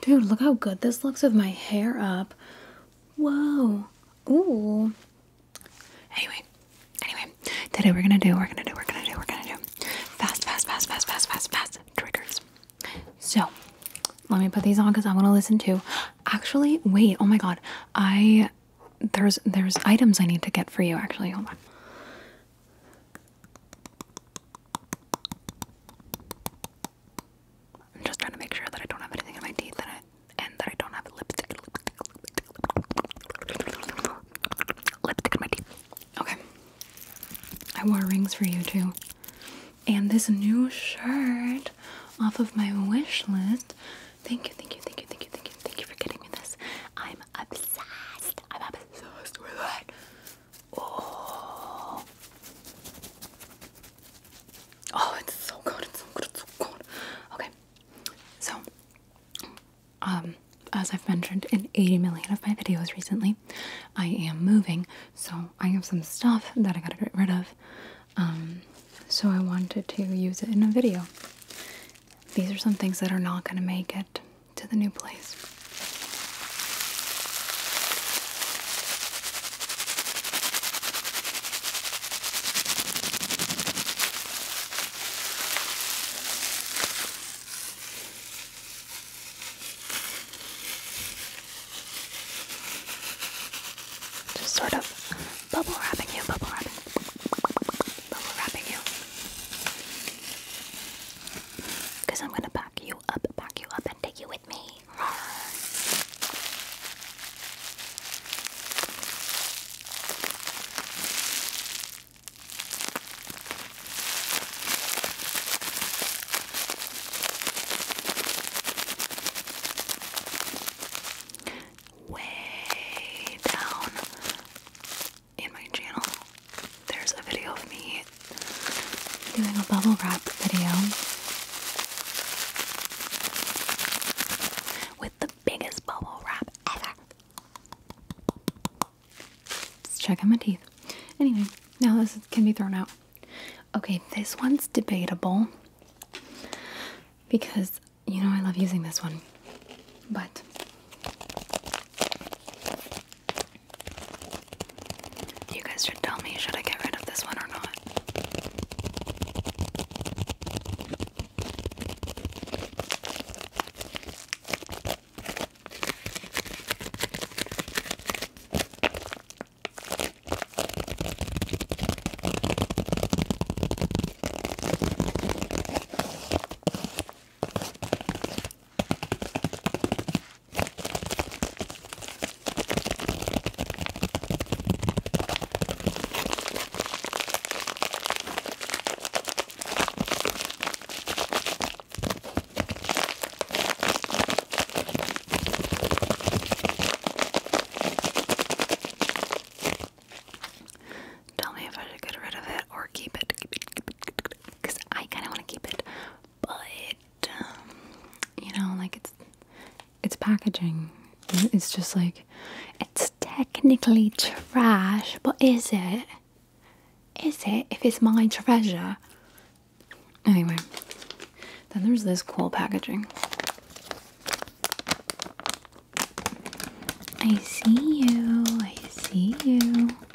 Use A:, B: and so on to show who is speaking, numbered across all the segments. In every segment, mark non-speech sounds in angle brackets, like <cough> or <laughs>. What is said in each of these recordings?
A: Dude, look how good this looks with my hair up. Whoa. Ooh. Anyway, anyway, today we're gonna do, we're gonna do, we're gonna do, we're gonna do fast, fast, fast, fast, fast, fast, fast triggers. So let me put these on because I want to listen to. Actually, wait, oh my god. I there's there's items I need to get for you actually. Hold on. I'm just trying to make sure that I don't have anything in my teeth and, that I don't have lipstick, lipstick, lipstick in my teeth. Okay. I wore rings for you too. And this new shirt off of my wish list. Thank you, thank you, thank you, thank you, thank you, thank you for getting me this. I'm obsessed. I'm obsessed with that. Oh. Oh, it's so good. It's so good. It's so good. Okay. So, um, as I've mentioned in 80 million of my videos recently, I am moving. So, I have some stuff that I gotta get rid of. Um, so I wanted to use it in a video. These are some things that are not gonna make it to the new place. Just sort of bubble wrapping you, bubble wrapping, bubble wrapping you. Because I'm going to back you up, back you up, and with me. Way down in my channel there's a video of me doing a bubble wrap video with the biggest bubble wrap ever. Let's check out my teeth. Anyway, now this can be thrown out. Okay, this one's debatable because you know I love using this one, but you guys should tell me should I get rid of this one or not. Tell me if I should get rid of it or keep it, because I kind of want to keep it but um, you know, like it's it's packaging. It's just like it's technically trash, but is it? Is it if it's my treasure? Anyway, then there's this cool packaging. I see you. I see you.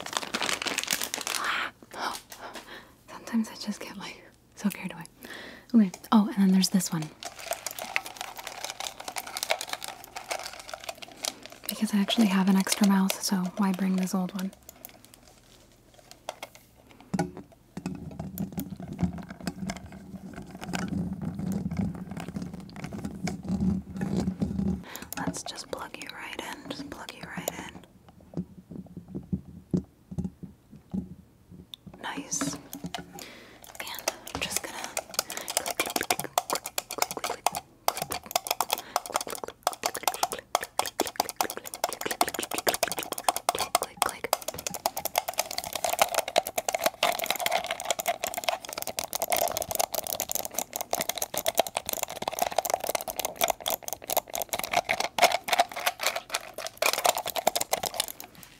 A: <gasps> Sometimes I just get like so carried away. Okay. Oh, and then there's this one. Because I actually have an extra mouse, so why bring this old one? Let's just plug you right in. Just plug you right in. Nice. And I'm just gonna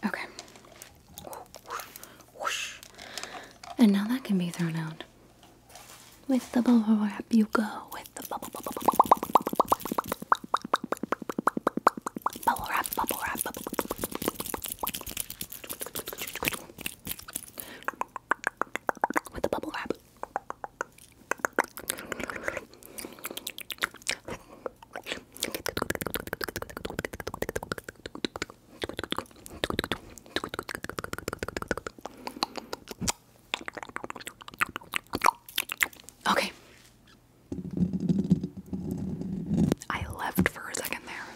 A: Okay. And now that can be thrown out. With the bubble wrap, you go. With the bubble, bubble, bubble, bubble wrap, bubble wrap, bubble with the bubble wrap. Okay. I left for a second there.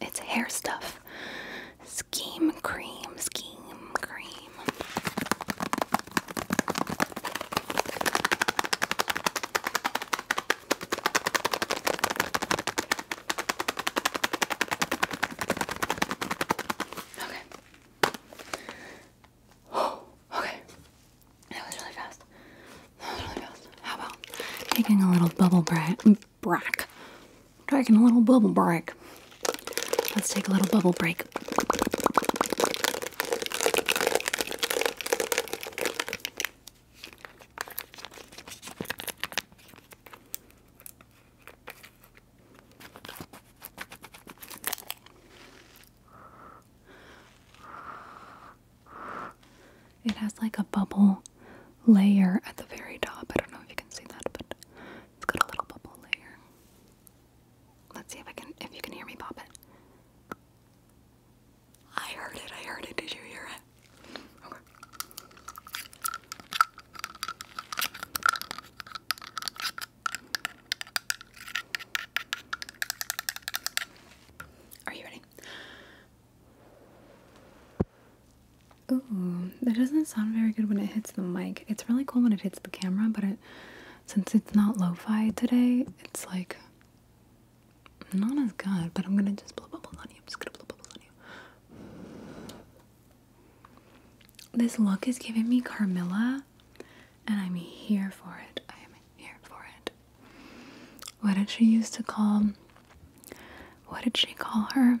A: It's hair stuff. Scheme cream, scheme cream. Okay. Oh, <gasps> okay. That was really fast. How about taking a little bubble break? Break. Taking a little bubble break. Let's take a little bubble break. It has like a bubble layer at the very top. I don't know if you can see that, but it's got a little bubble layer. Let's see if I can if you can hear me pop it. I heard it, I heard it. Did you hear it? Okay. Are you ready? Ooh, that doesn't sound very good when it hits the mic. It's really cool when it hits the camera, but it since it's not lo-fi today, it's like not as good, but I'm gonna just blow bubbles on you. I'm just gonna blow bubbles on you. This look is giving me Carmilla, and I'm here for it. I am here for it. What did she used to call? What did she call her?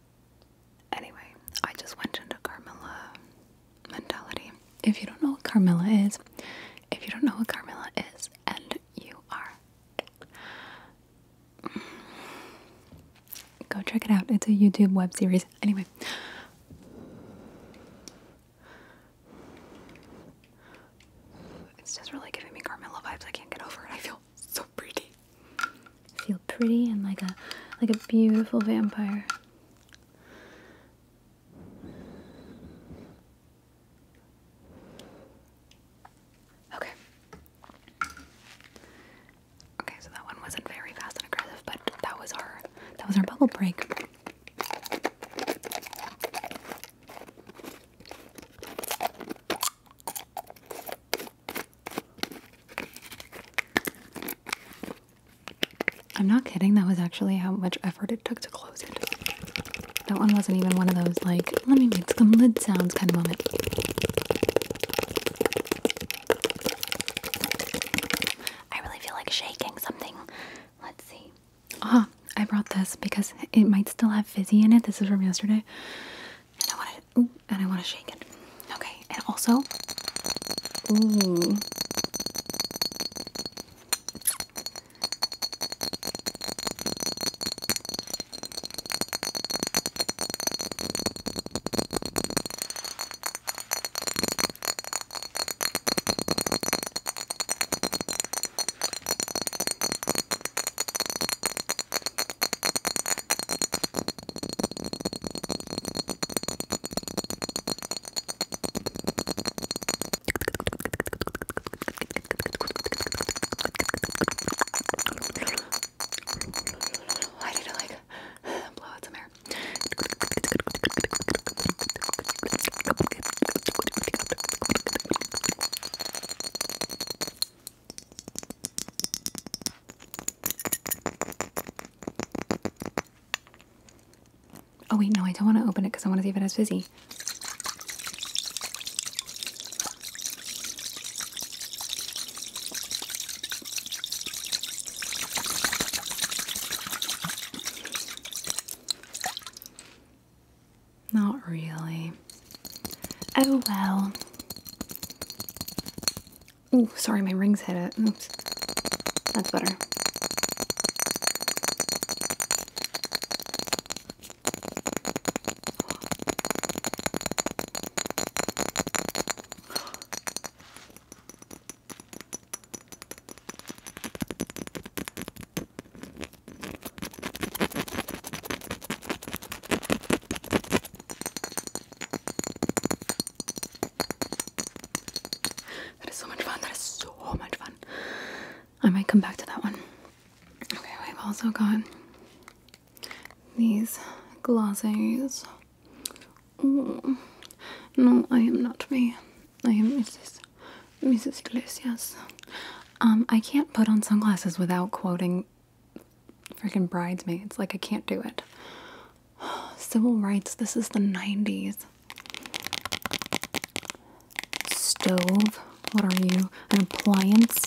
A: Anyway, I just went into Carmilla mentality. If you don't know what Carmilla is, if you don't know what Carmilla is, and you are, go check it out. It's a YouTube web series. Anyway, it's just really giving me Carmilla vibes. I can't get over it. I feel so pretty. feel pretty and like a like a beautiful vampire. Okay. Okay, so that one wasn't very fast and aggressive, but that was our that was our bubble break. I'm not kidding, that was actually how much effort it took to close it. That one wasn't even one of those, like, let me make some lid sounds kind of moment. I really feel like shaking something. Let's see. Ah, I brought this because it might still have fizzy in it. This is from yesterday. And I wanted and I want to shake it. Okay, and also, why did I like blow out some air? Oh wait, no, I don't want to open it because I want to see if it has fizzy. Not really. Oh well. Oh, sorry, my rings hit it. Oops. That's better. That is so much fun. That is so much fun. I might come back to that one. Okay, we have also got these glasses. no, I am not me. I am Mrs. Mrs. Iglesias. Um, I can't put on sunglasses without quoting freaking bridesmaids. Like, I can't do it. <sighs> Civil rights, this is the 90s. Stove, what are you? An appliance?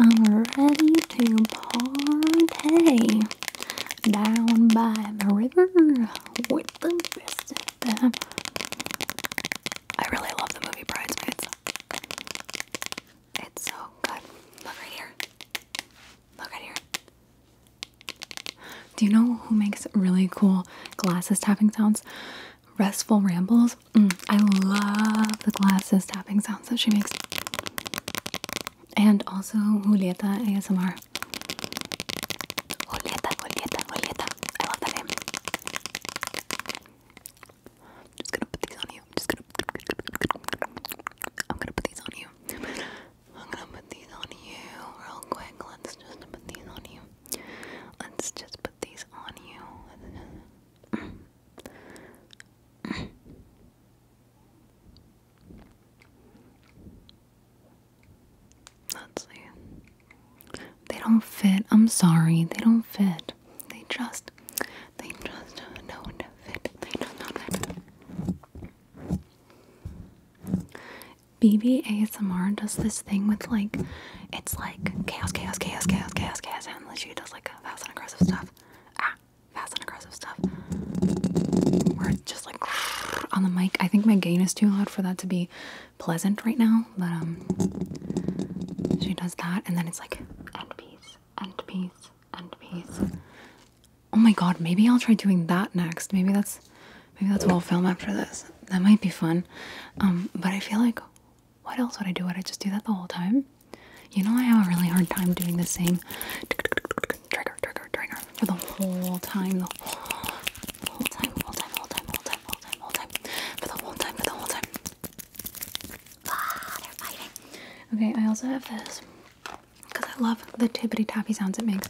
A: I'm ready to party down by the river with the best of them. I really love the movie Bridesmaids. It's so good. Look right here. Look right here. Do you know who makes really cool glasses tapping sounds? Restful Rambles. Mm, I love the glasses tapping sounds that she makes. And also Julieta ASMR. Julieta, Julieta, Julieta. I love that name. just gonna put these on you. just gonna. I'm gonna put these on you. I'm gonna put these on you real quick. Let's just put these on you. Let's just put these on you. They don't fit. I'm sorry. They don't fit. They just, they just don't fit. They don't fit. BB ASMR does this thing with like, it's like chaos, chaos, chaos, chaos, chaos, chaos, and she does like fast and aggressive stuff. Ah, fast and aggressive stuff just like <laughs> on the mic. I think my gain is too loud for that to be pleasant right now, but um, she does that, and then it's like end piece, end piece, end piece. Oh my god, maybe I'll try doing that next. Maybe that's maybe that's what I'll film after this. That might be fun. Um, but I feel like what else would I do? Would I just do that the whole time? You know, I have a really hard time doing the same Trigger trigger, trigger, for the whole time, the whole, time, whole time, whole time, whole time, whole time, whole time, for the whole time, for the whole time. Ah, they're fighting. Okay, I also have this because I love the tippity tappy sounds it makes.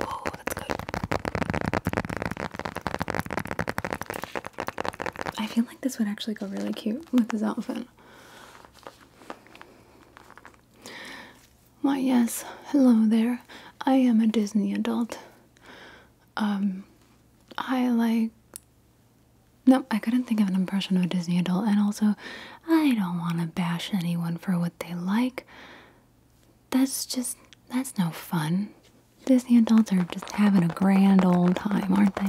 A: Oh, that's good. I feel like this would actually go really cute with this outfit. Why, yes, hello there. I am a Disney adult. Um, I like. No, I couldn't think of an impression of a Disney adult, and also, I don't want to bash anyone for what they like. That's just. That's no fun. Disney adults are just having a grand old time, aren't they?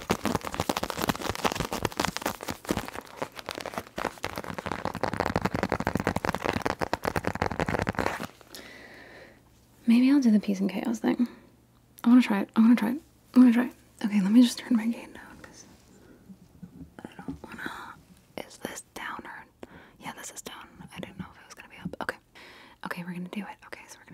A: Maybe I'll do the peace and chaos thing. I want to try it. I want to try it. I want to try it. Okay, let me just turn my game down because I don't want to. Is this down Yeah, this is down. I didn't know if it was going to be up. Okay. Okay, we're going to do it. Okay, so we're going to.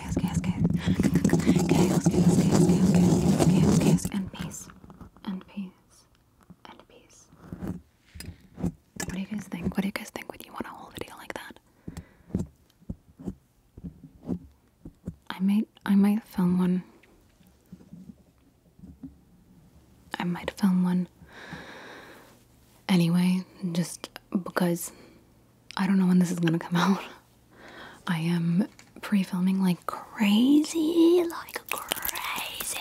A: chaos, chaos, chaos. Chaos, chaos, chaos, chaos, chaos, chaos, chaos, and peace. And peace. And peace. What do you guys think? What do you guys think? Would you want a whole video like that? I might I might film one. I might film one anyway, just because I don't know when this is gonna come <laughs> out. I am pre filming like crazy, like crazy,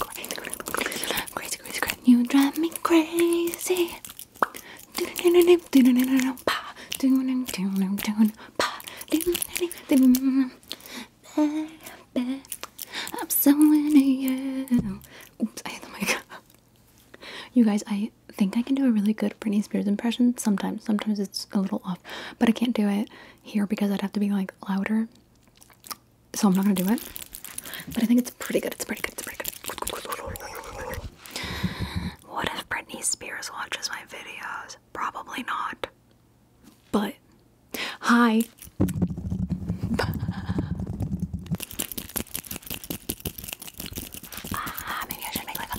A: crazy, crazy, crazy, crazy, crazy. You drive me crazy. I'm so into you. Oops, I hit the mic. You guys, I think I can do a really good Britney Spears impression sometimes. Sometimes it's a little off, but I can't do it here because I'd have to be like louder. So I'm not gonna do it. But I think it's pretty good. It's pretty good. It's pretty good. What if Britney Spears watches my videos? Probably not. But hi. Ah, maybe I should make like a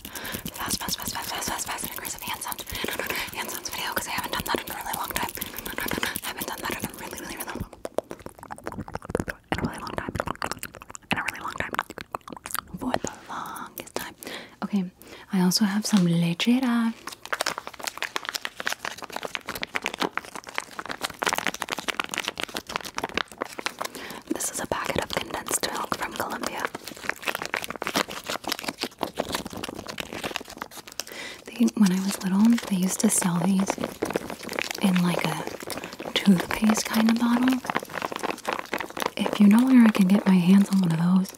A: fast, fast, fast, fast, fast, fast, fast and aggressive hand sounds, hand video because I haven't done that in a really long time. I haven't done that in a really, really, really, in a really long time. In a really long time. For the longest time. Okay, I also have some lechera. This is a packet of condensed milk from Colombia. when I was little, they used to sell these in like a toothpaste kind of bottle. If you know where I can get my hands on one of those,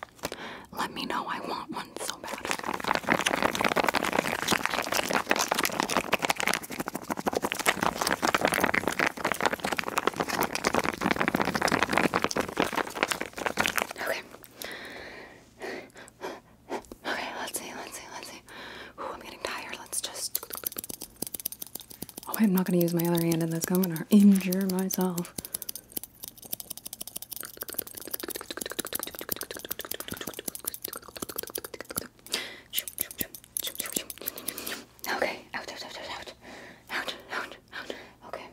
A: let me know. I want one so bad. Okay. Okay, let's see, let's see, let's see. I'm getting tired. Let's just. Oh, I'm not going to use my other hand in this. I'm going to injure myself. Okay, out, out, out, out, out, out, out. Okay.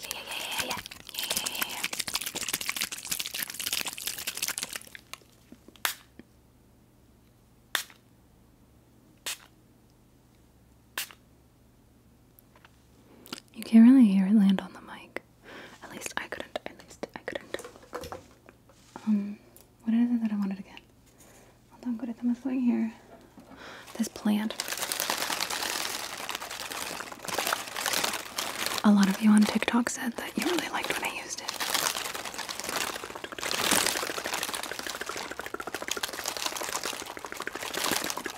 A: Yeah, yeah, yeah, yeah, yeah, yeah, yeah, yeah, yeah. Okay. You can't really hear it land on the mic. At least I couldn't. At least I couldn't. Um, what is it that I wanted again? Hold on, good at the here. This plant. A lot of you on TikTok said that you really liked when I used it.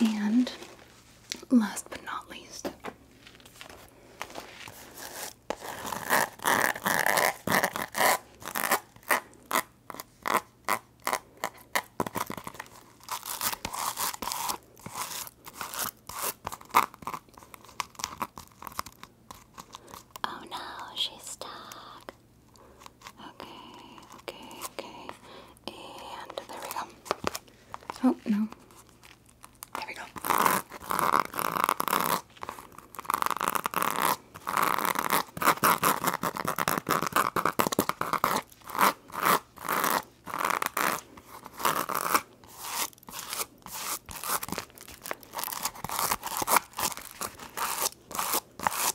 A: And last but not least, Oh no, she's stuck. Okay, okay, okay. And there we go. Oh, no. There we go.